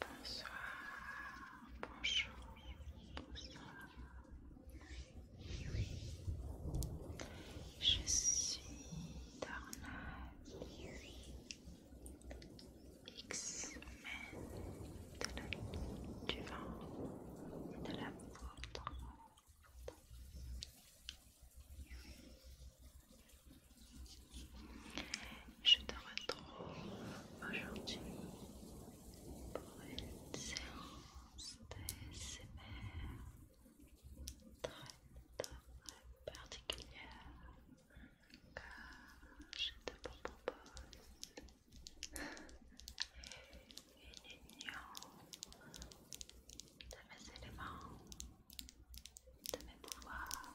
Bonsoir, bonjour, bonsoir. Je suis Darnal X-Men de du vent de la poudre. Je te retrouve aujourd'hui pour une séance d'ASMR très très particulière car je te propose une union de mes éléments, de mes pouvoirs,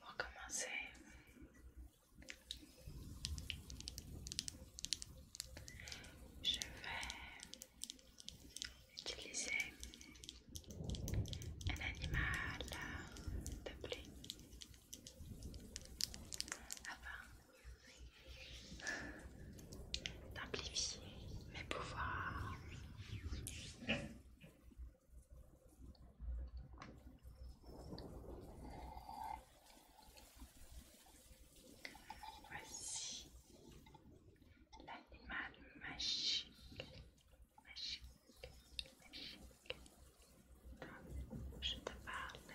Pour commencer je vais utiliser un animal de pluie afin d'amplifier mes pouvoirs. Voici l'animal magique, je te parle.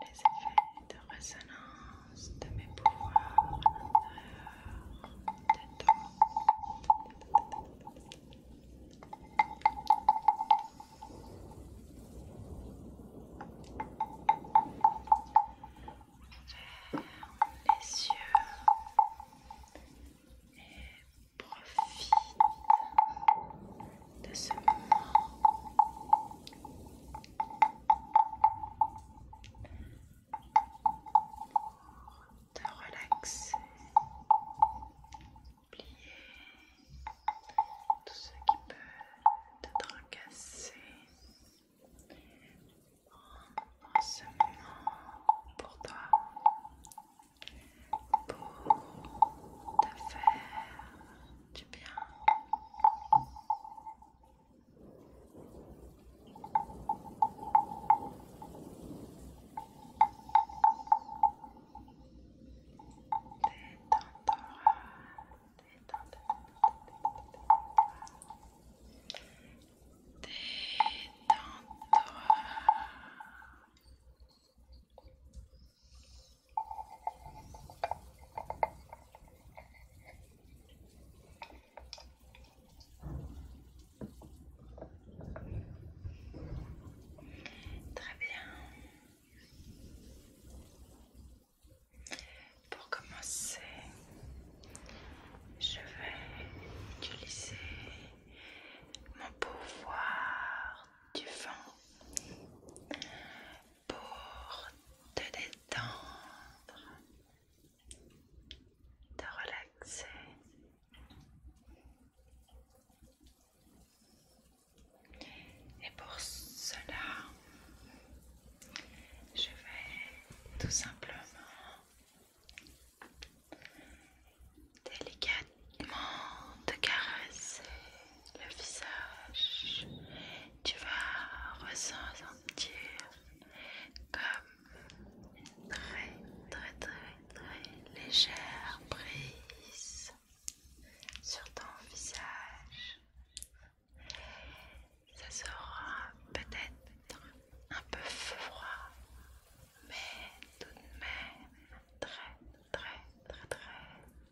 les effets de résonance de mes pouvoirs à l'intérieur de toi. Ferme les yeux et profite de ce moment. De relaxer, oublier tout ce qui peut te tracasser en, ce moment pour toi pour te faire du bien. Détends-toi, détends Très bien. Pour commencer, je vais utiliser mon pouvoir du vent pour te détendre, te relaxer. Et pour cela, je vais tout simplement délicat de caresser le visage. Tu vas ressentir comme une très très très très légère brise sur ton visage. Ça sera peut-être un peu froid, mais tout de même très très très très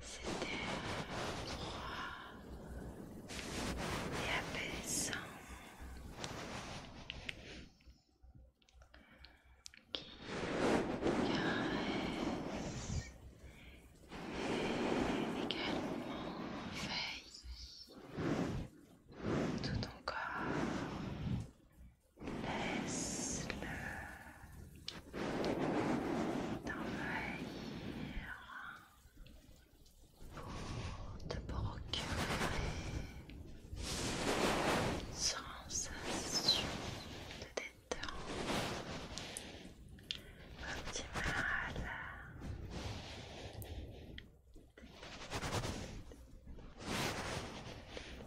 C'était froid et apaisant qui caresse et également veille tout ton corps Laisse-le t'envahir pour te procurer une sensation de détente optimale. Laisse-le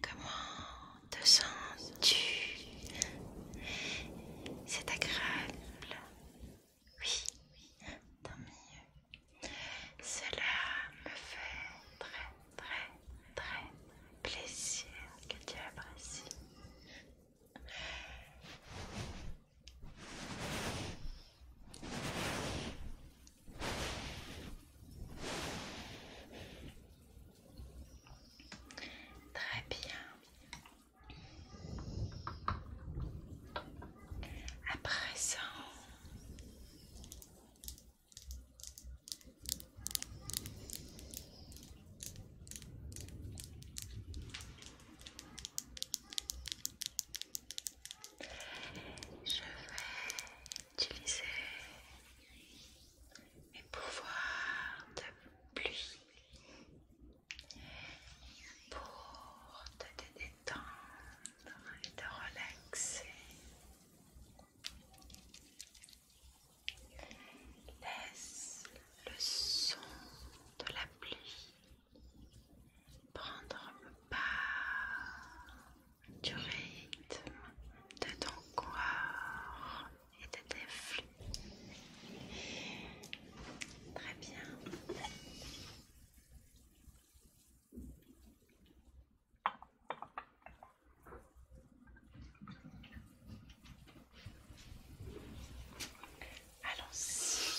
Comment te sens-tu C'est agréable Oui, tant mieux. Cela me fait très, très, très plaisir que tu apprécies. Très bien. À présent, je vais utiliser mes pouvoirs de pluie pour te détendre et te relaxer. Laisse le son de la pluie prendre pas du rythme de ton corps et de tes flux. Très bien. Allons-y.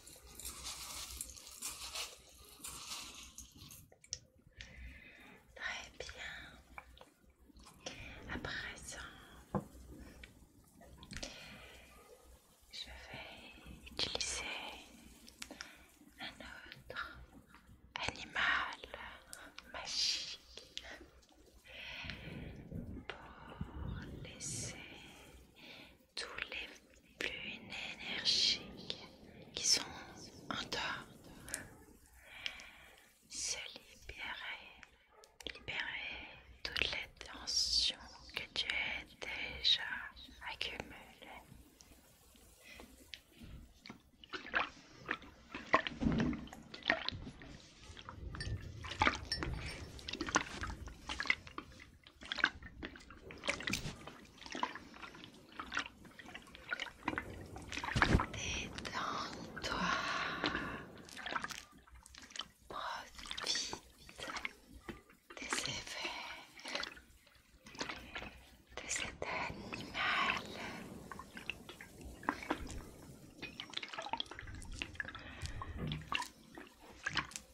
Très bien. À présent, je vais utiliser un autre animal magique pour laisser tous les plus énergiques qui sont en dehors se libérer, libérer toutes les tensions que tu as déjà accumulées. Détends-toi. Profite des de cet animal.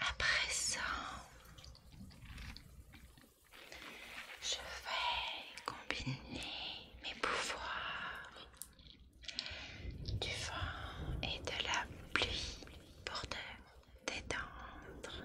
Après présent, je vais combiner mes pouvoirs du vent et de la pluie pour détendre.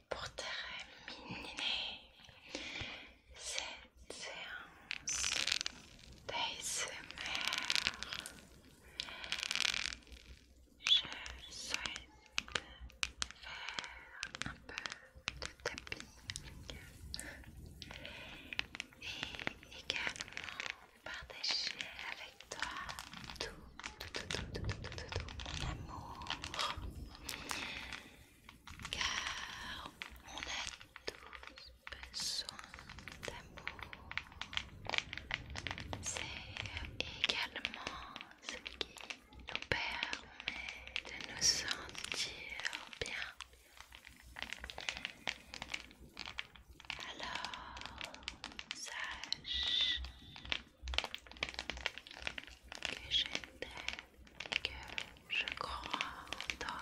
pour terminer cette séance d'ASMR. Je souhaite faire un peu de tapis et également partager avec toi tout, tout, tout, tout, tout, tout mon amour car on a tous besoin d'amour. C'est également ce qui nous permet de nous sentir bien. Alors, sache que je t'aime, que je crois en toi.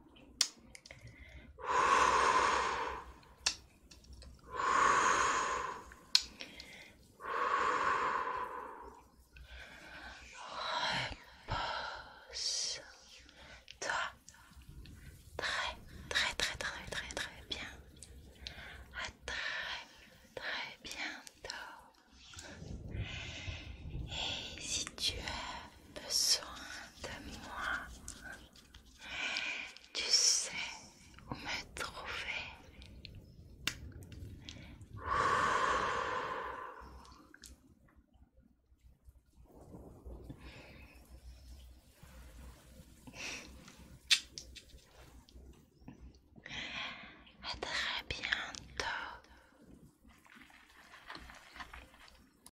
Repose-toi très, très, très, très, très, très bien. À ah, très, très bientôt. Et si tu as besoin de moi, tu sais où me trouver. À très bientôt.